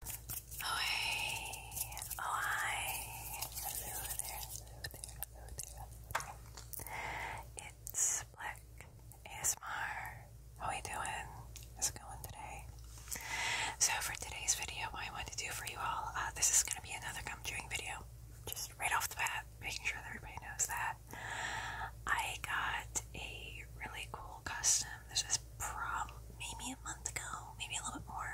hey, oh hi, It's Black ASMR. How are doing? How's it going today? So for today's video, I want to do for you all, uh, this is going to be another gum chewing video. Just right off the bat, making sure everybody knows that. I got a really cool cool custom. This is probably maybe a month ago, maybe a little bit more.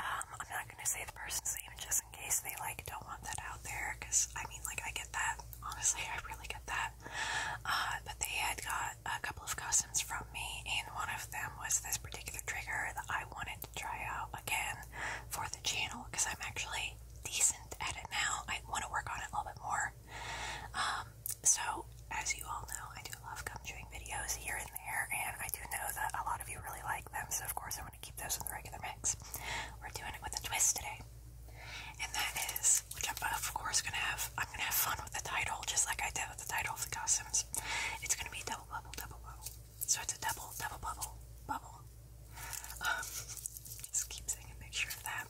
Um, I'm not gonna say the person's name just in case they like don't want that out there, because I mean, like, I get that. Honestly, I really get that. Uh, but they had got a couple of customs from me, and one of them was this particular trigger that I wanted to try out again for the channel because I'm actually decent at it now. I want to work on it a little bit more. Um, so, as you all know, I do love gum chewing videos here and there, and I do know that a lot of you really like them, so of course I want to keep those in the regular mix. We're doing it with a twist today, and that is, which I'm of course gonna have, I'm gonna have fun with the title, just like I did with the title of the costumes. It's gonna be double bubble, double bubble. So it's a double, double bubble, bubble. Um, just keep saying a picture of that.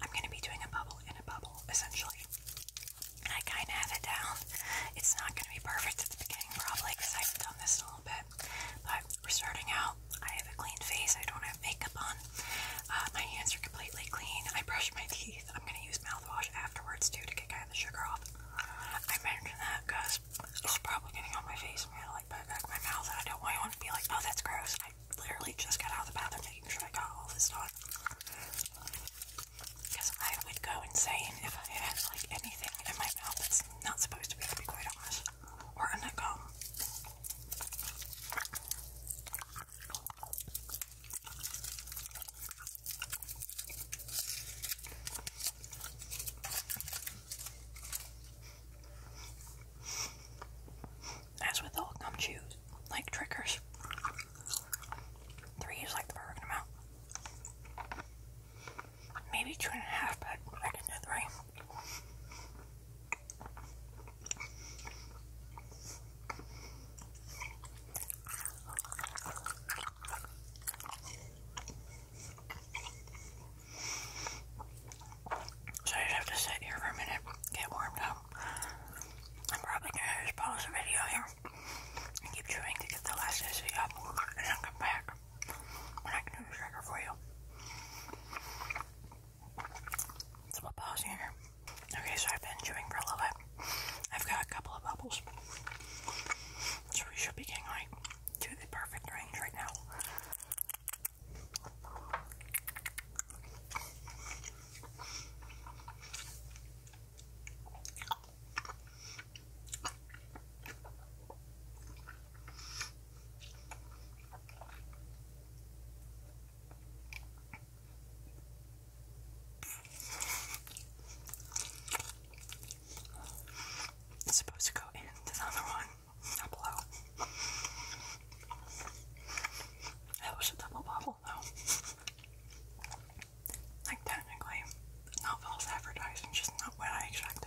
I'm gonna be doing a bubble in a bubble, essentially. I kind of have it down. It's not going to be perfect at the beginning, probably, because I've done this a little bit. But we're starting out. I have a clean face. I don't have makeup on. Uh, my hands are completely clean. I brush my teeth. I'm going to use mouthwash afterwards, too, to get kind the sugar off. I mentioned that because it's probably getting on my face. I'm going to, like, put back my mouth, I don't want to be like, oh, that's gross. I literally just got out of the bathroom making sure I got all this done. Because I would go insane if I had like anything in my mouth that's not supposed to be, to be quite honest. Or in a gum. That's with all gum chews, like trickers. three is like the perfect amount. Maybe two and a half, but I can do three. So I just have to sit here for a minute, get warmed up. I'm probably gonna just pause the video here and keep chewing to get the elasticity up and then come back when I can do the trigger for you. So we'll pause here. Okay, so I've been chewing for a little bit. I've got a couple of bubbles. So we should be getting to the perfect range right now. It's supposed to go into the other one up below. That was a double bubble though. Like, technically, not false advertising, just not what I expected.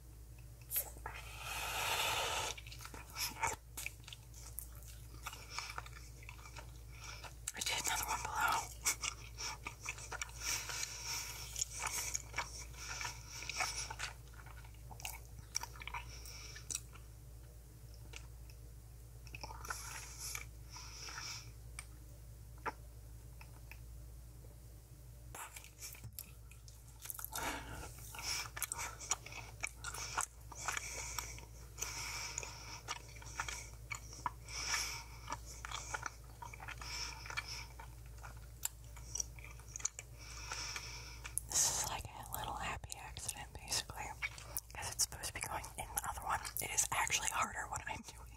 I did another one below. This is like a little happy accident, basically, because it's supposed to be going in the other one. It is actually harder what I'm doing.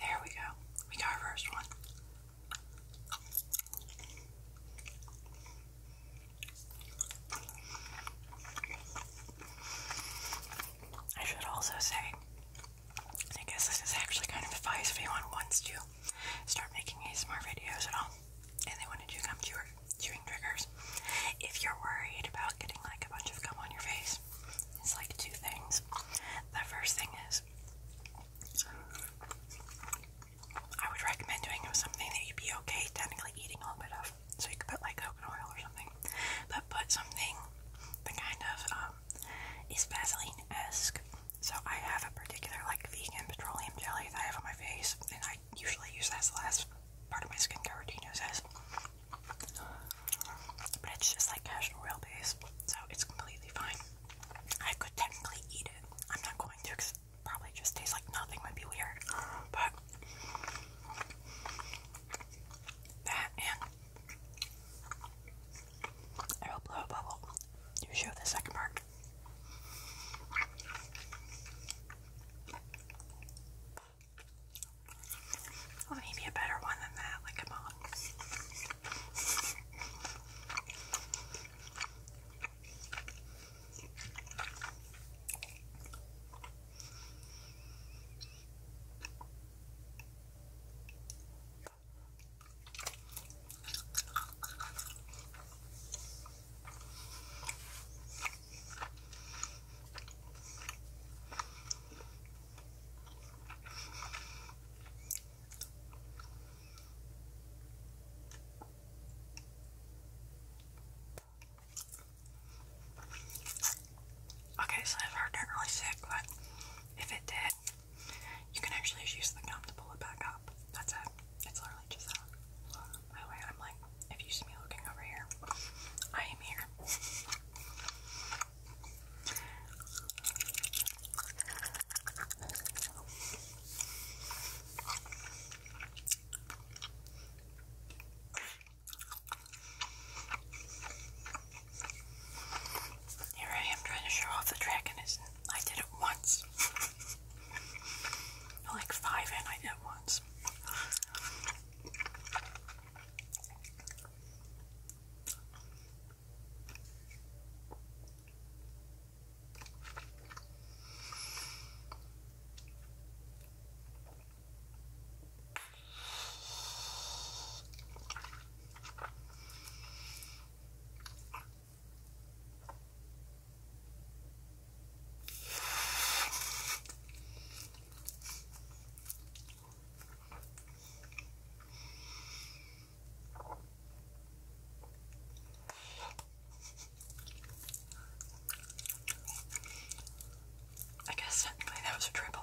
There we go. We got our first one. I should also say, I guess this is actually kind of advice if anyone wants to start making ASMR videos at all and they want to do gum chewing triggers. If you're worried about getting like a bunch of gum on your face, it's like two things. The first thing is, I would recommend doing something that you'd be okay technically eating a little bit of. So you could put like coconut oil or something, but put something that kind of um, is Vaseline esque. So I have a particular like vegan petroleum jelly that I have on my face, and I I usually use that as the last part of my skincare routine, you But it's just like casual real base, so it's completely fine. I could technically eat it. I'm not going to because probably just tastes like nothing, might be weird. But that and I will blow a bubble to show the second part. Well, maybe a better one than that, like a mom. Okay, so that heart didn't really sick, but if it did, you can actually just use the gum to pull it back up. That's it. It's literally just that. By the way, I'm like, if you see me looking over here, I am here. Here I am trying to show off the dragon, I did it once. Like five in I did once. I guess technically that was a triple.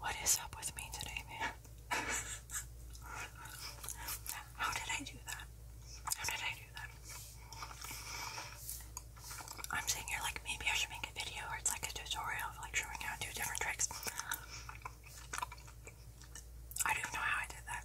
What is up with me today, man? How did I do that? How did I do that? I'm sitting here like maybe I should make a video or it's like a tutorial like showing how to do different tricks. I don't know how I did that.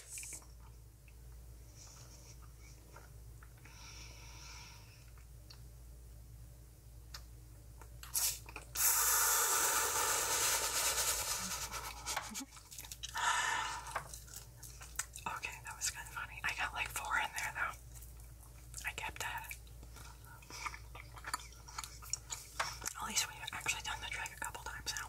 Okay, that was kind of funny. I got like four in there though. I kept that. At least we've actually done the drag a couple times now.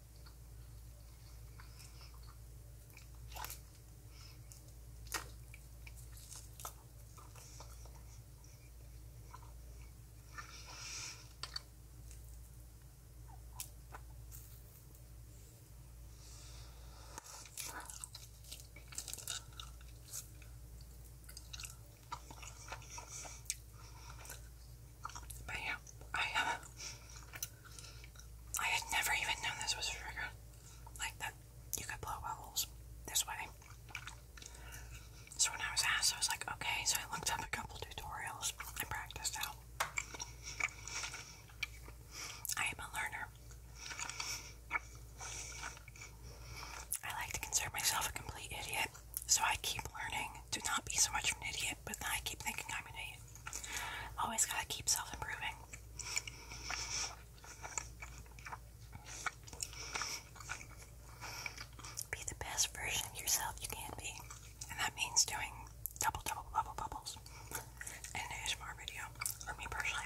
But yeah, I have uh, I had never even known this was a trigger. Like that you could blow bubbles this way. So when I was asked, I was like, okay, so I looked up a couple tutorials and practiced out. I am a learner. I like to consider myself a complete idiot, so I keep learning Do not be so much of an idiot, but then I keep thinking I'm an idiot. Always gotta keep self improving. Be the best version of yourself you can be. And that means doing double, double, bubble, bubbles in an ASMR video for me personally.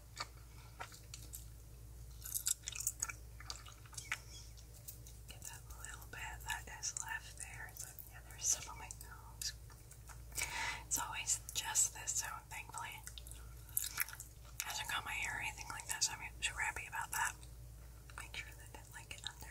Get that little bit that is left there. So, yeah, there's on my nose. It's always just this, so thankfully hasn't got my hair anything like that, so I'm super happy about that. Make sure that it like under.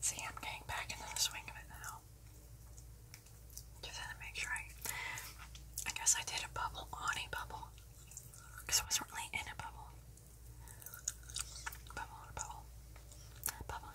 See, I'm getting back into the swing of it now. Just had to make sure I. guess I did a bubble on bubble. Because I wasn't really in a bubble. Bubble bubble. Bubble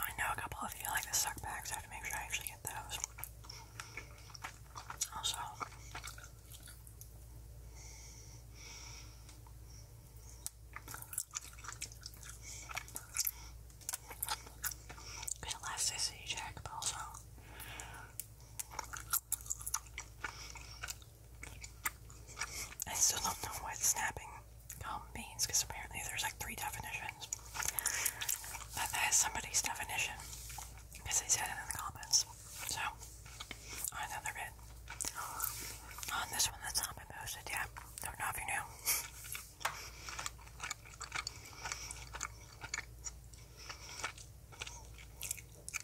I know a couple of you like the suck bags, I have to make sure I actually get those. Also, elasticity check, also I still don't know what snapping means because apparently there's like three definitions. But that is somebody's definition because they said it in the comments. So, on another bit. On this one that's not posted yet. Don't know if you knew.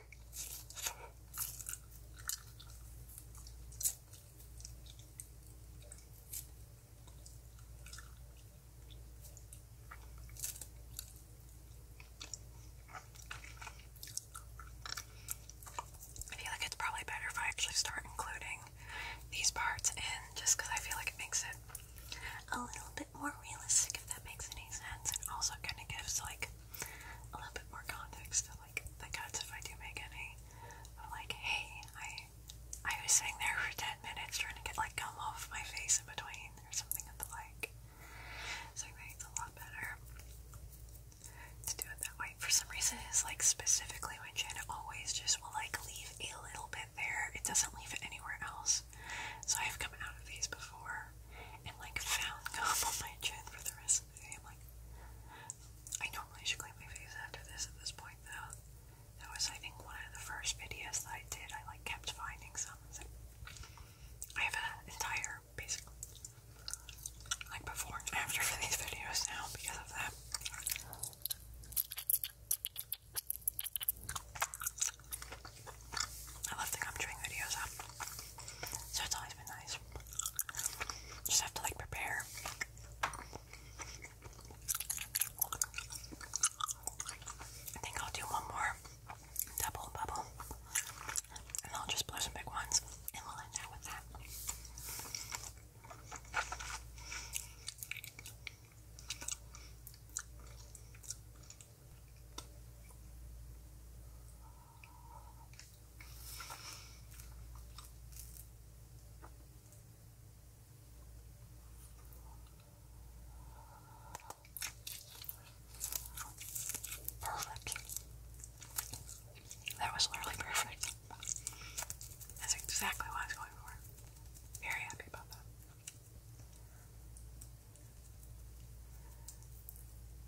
I feel like it's probably better if I actually start including these parts in just because I feel like it makes it a little bit more realistic if that makes any sense and also kind of gives like a little bit more context to like the cuts if I do make any. like, hey, I I was sitting there for ten minutes trying to get like come off my face in between or something of the like. So I think a lot better to do it that way. For some reason it's like specifically my chin always just will like leave a little bit there. It doesn't leave it anywhere else. So I've come out of these before and like found gum on my chin for the rest of the day. I'm like, I normally should clean my face after this at this point though. That was I think one of the first videos that I did. I like kept finding some. I have an entire basically like before and after for these videos now because of that. I love the gum chewing videos So it's always been nice. Just have to like prepare. I think I'll do one more double bubble. And I'll just blow some big ones. And we'll end out with that. Perfect. That was literally perfect. That's exactly what I was going for. Very happy about that.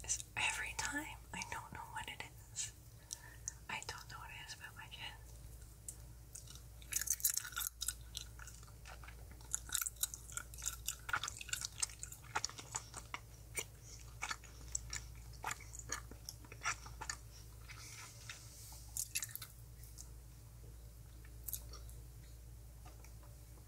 It's every time I don't know what it is. I don't know what it is about my kid.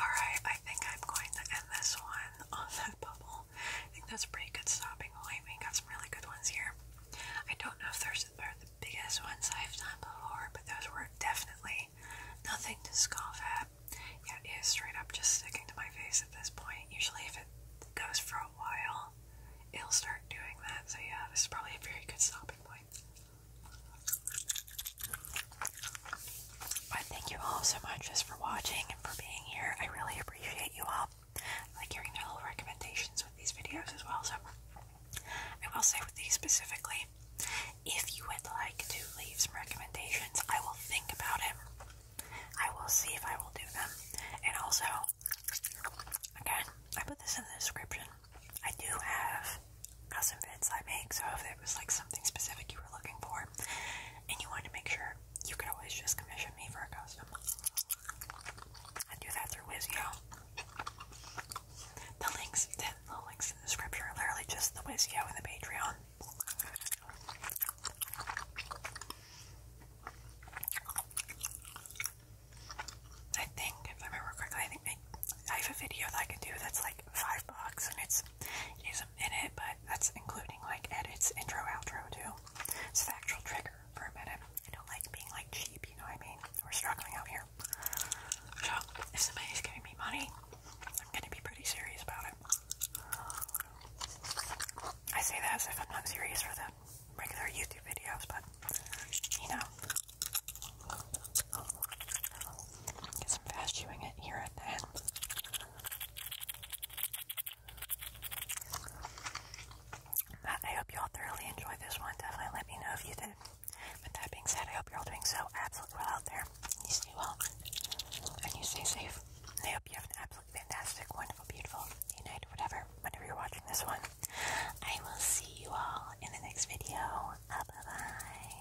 Alright, I think I'm going to end this one on that bubble. I think that's pretty good stopping point. We got some really good ones here. I don't know if there's course are the biggest ones I've done before, but those were definitely nothing to scoff at. Yeah, it is straight up just sticking to my face at this point. Usually if it goes for a while, it'll start doing that. So yeah, this is probably a very good stopping point. But thank you all so much just for watching and for being here. I really appreciate you all. I like hearing their little recommendations with these videos as well. So I will say with these specifically, if you would like to leave some recommendations, I will think about it. I will see if I will do them. And also, again, I put this in the description. I do have custom vids I make, so if it was like something specific you were looking for and you wanted to make sure, you could always just commission me for a custom. I do that through Wizio. The links, the, links in the description are literally just the Wizio and the Patreon. I think, if I remember correctly, I think I, have a video that I can do that's like five bucks, and it's is in it, but that's including like edits, intro, outro too. It's the actual trigger for a minute. I don't like being like cheap, you know what I mean. We're struggling out here. So, if somebody's giving me money, I'm going to be pretty serious about it. I say that as if I'm not serious for the regular YouTube videos, but, you know. Get some fast chewing it here at the end. I hope you all thoroughly enjoyed this one. Definitely let me know if you did. With that being said, I hope you're all doing so absolutely well out there. You stay well and you stay safe. I hope you have an absolutely fantastic, wonderful, beautiful day, night, whatever, whenever you're watching this one. I will see you all in the next video. bye bye.